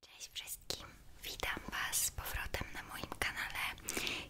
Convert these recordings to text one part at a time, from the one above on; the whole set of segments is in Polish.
Cześć wszystkim, witam Was z powrotem na moim kanale.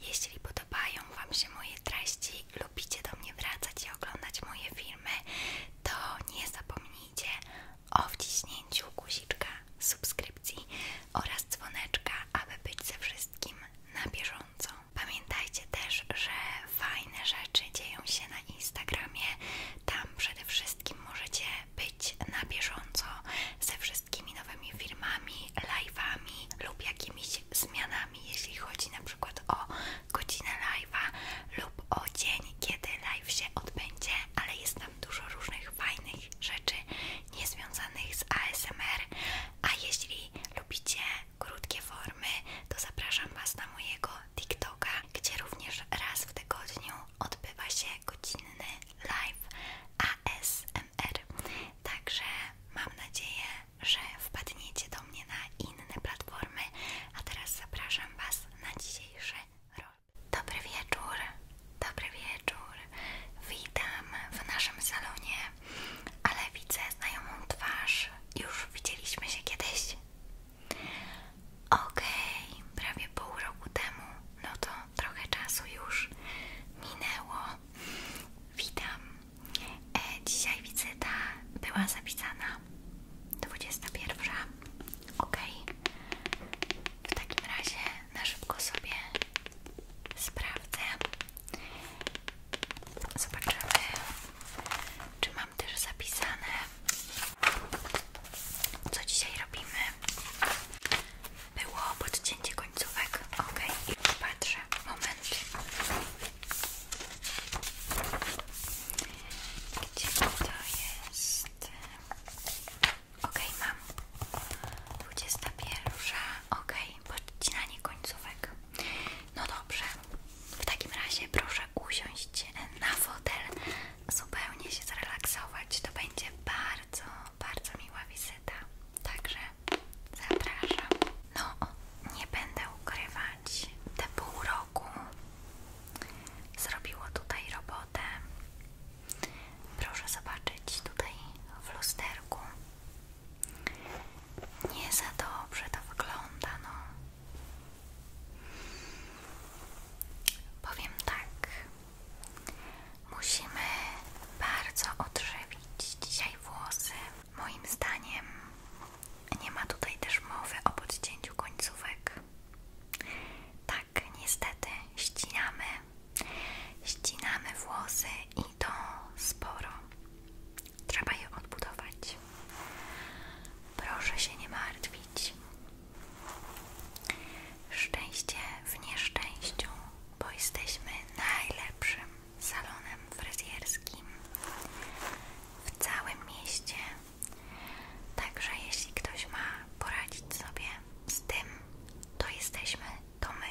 Jeśli podobają Wam się moje treści, lubicie do mnie wracać i oglądać moje filmy, to nie zapomnijcie o wciśnięciu guziczka subskrypcji oraz dzwoneczka, aby być ze wszystkim na bieżąco. Pamiętajcie też, że fajne rzeczy dzieją się na Instagramie. Tam przede wszystkim możecie być na bieżąco ze wszystkimi nowymi filmami, live'ami lub jakimiś zmianami, jeśli chodzi na przykład o godzinę live'a lub o dzień, kiedy live się odbędzie, ale jest tam dużo różnych fajnych rzeczy niezwiązanych z ASMR, a jeśli lubicie krótkie formy, to zapraszam Was na mojego TikToka, gdzie również raz w tygodniu odbywa się godzinny live ASMR. Także mam nadzieję, że wpadniecie do mnie na inne platformy, a teraz zapraszam Was na dzisiejszy rol. Dobry wieczór, dobry wieczór. Witam w naszym salonie, ale widzę znajomą twarz. Już widzieliśmy się kiedyś. Okej, prawie pół roku temu, no to trochę czasu już minęło. Witam. E, dzisiaj wizyta była zapisana 21. Okej. W takim razie na szybko sobie sprawdzę. Zobaczymy, czy mam też zapisane co dzisiaj robimy? Było podcięcie końcówek. Ok, i patrzę. Moment. Gdzie to jest? Ok, mam. 21. Ok, podcinanie końcówek. No dobrze. W takim razie proszę usiąść na fotel zupełnie się zrelaksować. To będzie bardzo, bardzo miła wizyta. Także zapraszam. No, nie będę ukrywać, te pół roku zrobiło tutaj robotę. Proszę zobaczyć tutaj w lusterku. Nie za dobrze to wygląda, no. Powiem tak, musimy bardzo odżywić dzisiaj włosy. Moim zdaniem nie ma tutaj też mowy o podcięciu końcówek. Tak, niestety ścinamy, ścinamy włosy i to sporo. Trzeba je odbudować. Proszę się nie martwić. Szczęście w nieszczęściu, bo jesteśmy najlepszym salonem fryzjerskim w całym mieście. Także jeśli ktoś ma poradzić sobie z tym, to jesteśmy to my.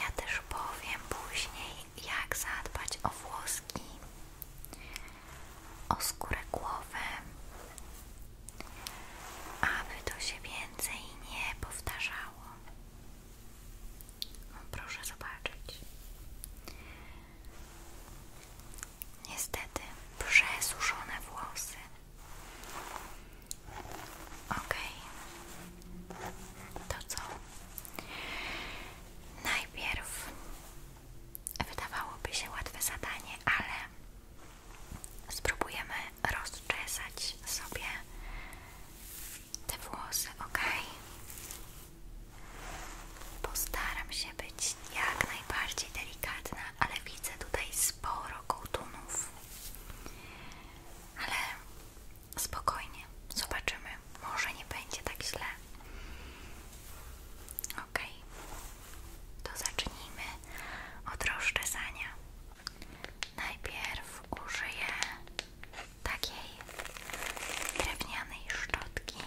Ja też powiem później, jak zadbać o włoski, o skórę głowy, aby to się więcej nie powtarzało. proszę zobaczyć. Niestety przesuszone włosy. Okej. To co? Najpierw wydawałoby się łatwe zadanie, ale spróbujemy rozczesać sobie te włosy, ok? Postaram się być jak najbardziej delikatna, ale widzę tutaj sporo kołtunów. Ale Spokojnie, zobaczymy. Może nie będzie tak źle. Ok, to zacznijmy od rozczesania. Najpierw użyję takiej drewnianej szczotki.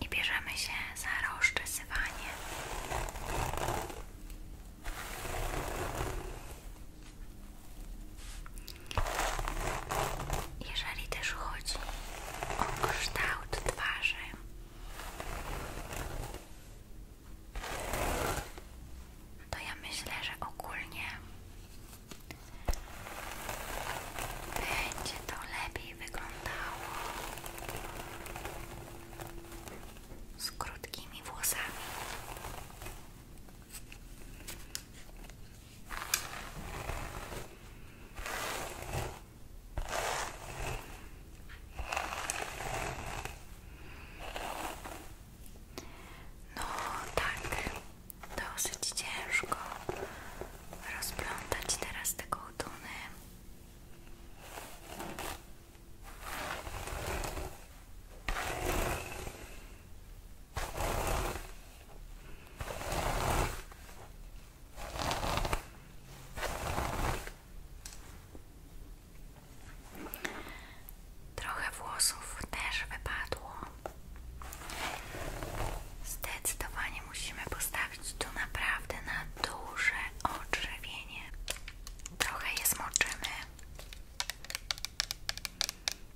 I bierzemy się za rozczesywanie. Jeżeli też chodzi o kształt twarzy, to ja myślę, że ogólnie będzie to lepiej wyglądało z krótkimi włosami. No tak, dosyć ciężko rozplątać teraz tego kołtuny. Trochę włosów też wypadło. Zdecydowanie musimy postawić tu naprawdę na duże odrzewienie. Trochę je zmoczymy.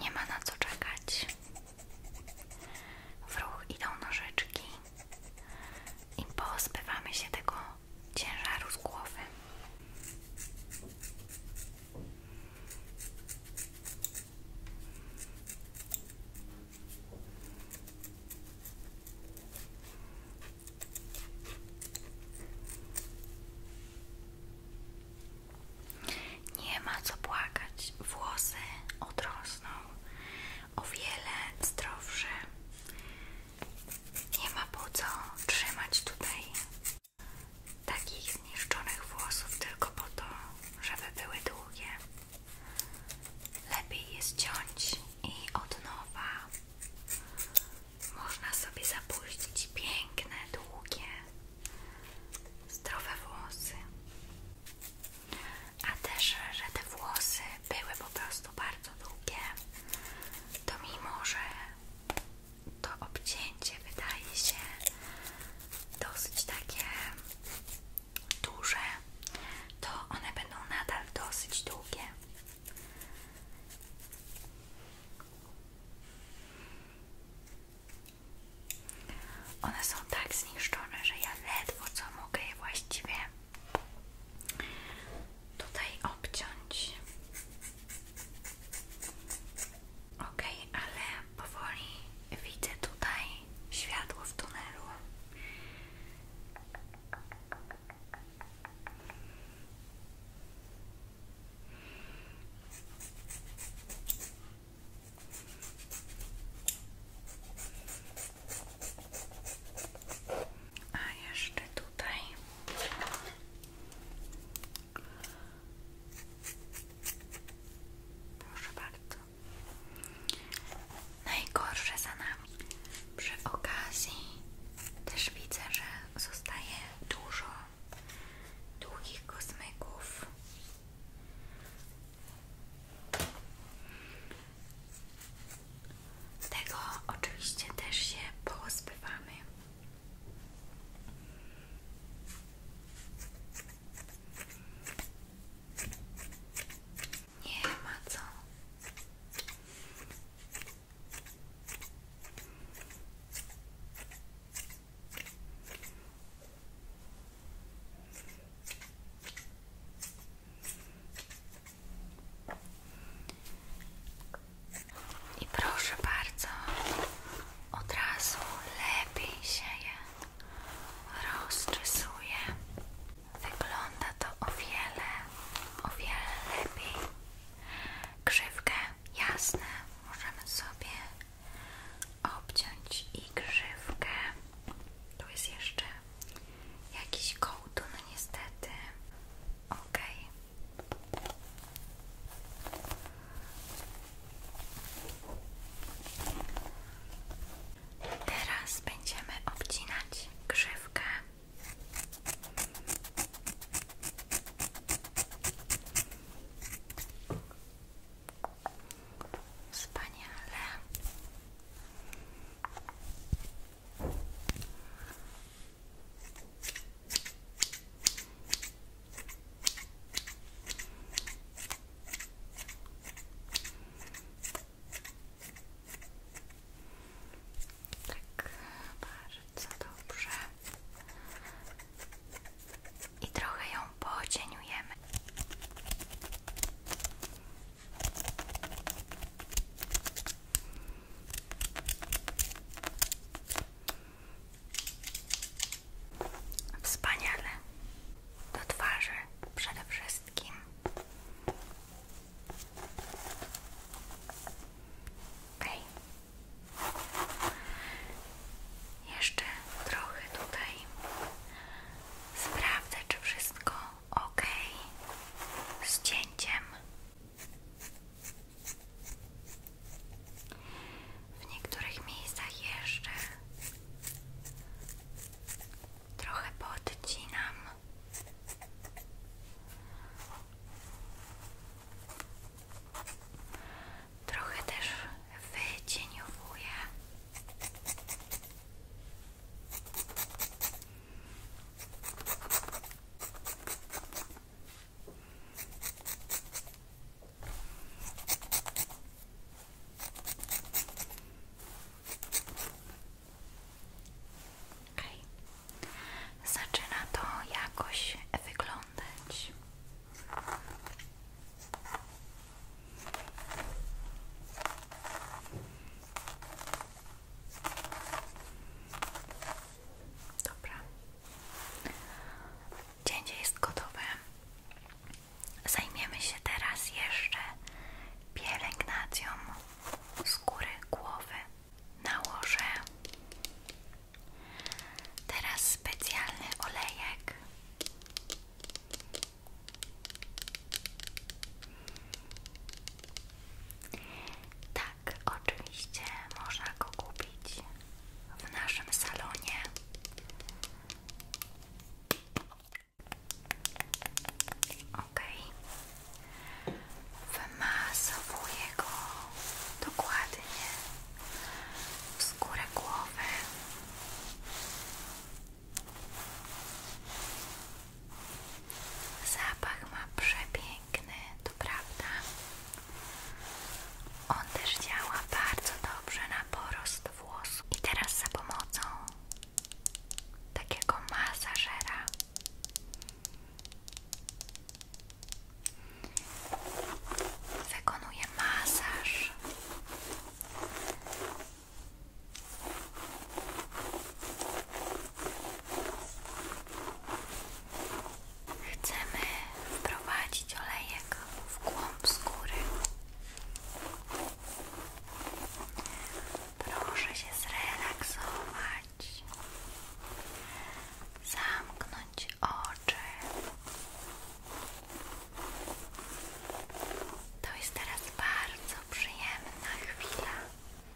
Nie ma na co czekać. W ruch idą nożyczki i pozbywamy się tego ciężaru z Nie ma co płakać, włosy odrosną o wiele zdrowsze nie ma po co trzymać tutaj takich zniszczonych włosów tylko po to, żeby były długie. Lepiej je ciąć i od nowa. Można sobie zapuścić piękne, długie, zdrowe włosy. A też, że te włosy były po prostu bardzo długie, to mimo, że to obcięcie wydaje się dosyć takie duże, to one będą nadal dosyć długie. One są tak zniszczone, że ja ledwo co mogę je właściwie tutaj obciąć. Ok, ale powoli widzę tutaj światło w tunelu. A jeszcze tutaj Proszę Najgorsze za nami. Przy okazji też widzę, że zostaje dużo długich kosmyków. Z tego oczywiście też się pozbywamy. Nie ma co. I proszę bardzo, od razu lepiej się je Wygląda to o wiele, o wiele lepiej. Krzywkę, jasne, możemy sobie obciąć i krzywkę. Tu jest jeszcze jakiś no niestety. Okej. Okay. Teraz będziemy obcinać grzywkę. Wspaniale. Tak, bardzo dobrze. I trochę ją pocieniujemy. Wspaniale. Do twarzy przede wszystkim. Jeszcze trochę tutaj sprawdzę, czy wszystko ok z cięciem. W niektórych miejscach jeszcze trochę podcinam. Trochę też wycieniowuję. Okay. Zaczyna to jakoś wyglądać. Dobra. Cięcie jest gotowe. Zajmiemy się teraz jeszcze pielęgnacją skóry głowy. Nałożę teraz specjalny olejek. Tak, oczywiście można go kupić w naszym salonie. Ok, wymasowuję go dokładnie w skórę głowy. Zapach ma przepiękny, to prawda. On też działa bardzo dobrze na porost włosów. I teraz za pomocą takiego masażera wykonuję masaż Chcemy wprowadzić olejek w głąb skóry. Proszę się zrelaksować, zamknąć oczy. To jest teraz bardzo przyjemna chwila.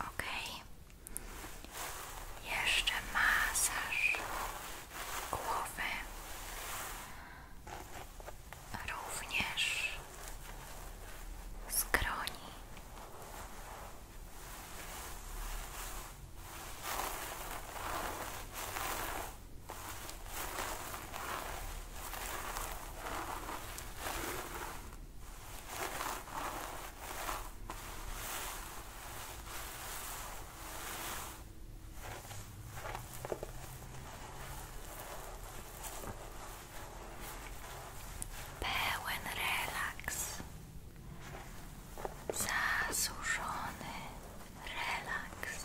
Ok. Jeszcze masaż głowy. Również skroni. Pełen relaks, zasłużony relaks.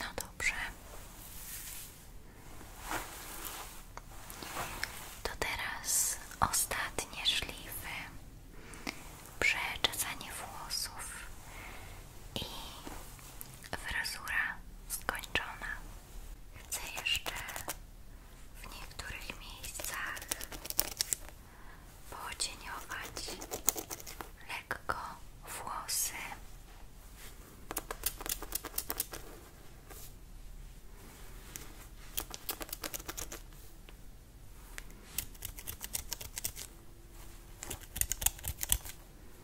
No dobrze. To teraz ostatnie szlify, przeczesanie włosów i fryzura skończona. Chcę jeszcze w niektórych miejscach pocieniować lekko włosy.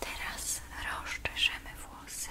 Teraz rozczeszemy włosy.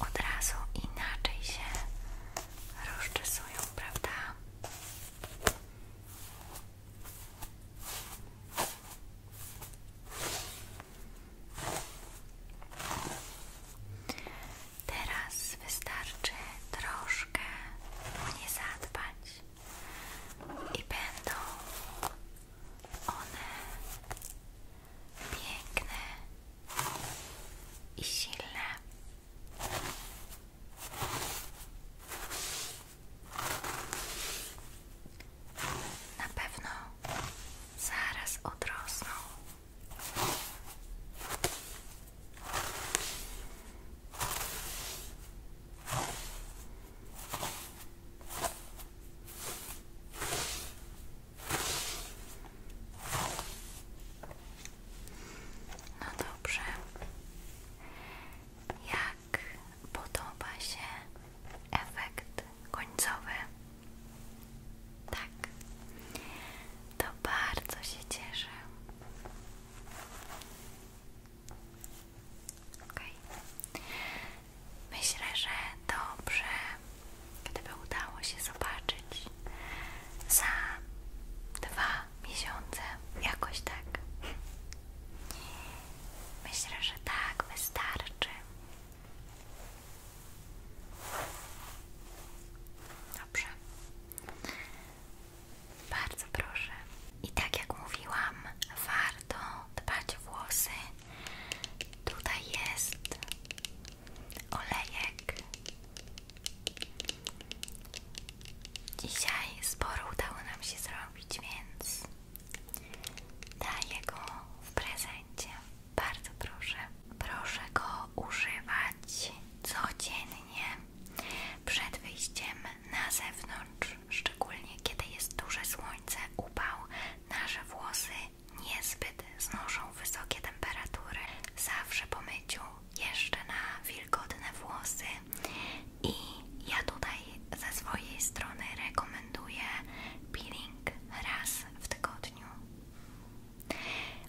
od razu inaczej się rozczesują, prawda? Teraz wystarczy troszkę o nie zadbać i będą one piękne i silne. Na pewno zaraz odrosną. No dobrze. Jak podoba się efekt końcowy? Tak. To bardzo się cieszę. Myślę, że dobrze, gdyby udało się zobaczyć za dwa miesiące, jakoś tak. Myślę, że tak wystarczy. Dobrze. Bardzo proszę. I tak jak mówiłam, warto dbać o włosy Tutaj jest olejek. Dzisiaj sporo udało nam się zrobić, więc daję go w prezencie. Bardzo proszę. Proszę go używać codziennie przed wyjściem na zewnątrz szczególnie kiedy jest duże słońce, upał, nasze włosy niezbyt znoszą wysokie temperatury. Zawsze po myciu jeszcze na wilgotne włosy i ja tutaj ze swojej strony rekomenduję peeling raz w tygodniu.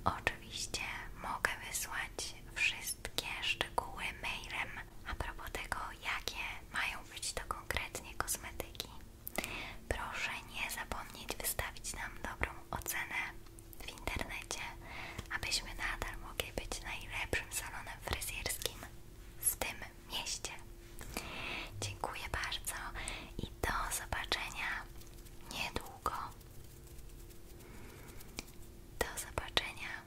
Oczywiście mogę wysłać wszystkie szczegóły mailem a propos tego, jakie mają być to konkretnie kosmetyki. Proszę nie zapomnieć wystawić nam dobrą ocenę w internecie, abyśmy nadal mogli być najlepszym salonem fryzjerskim w tym mieście. Dziękuję bardzo i do zobaczenia niedługo. Do zobaczenia.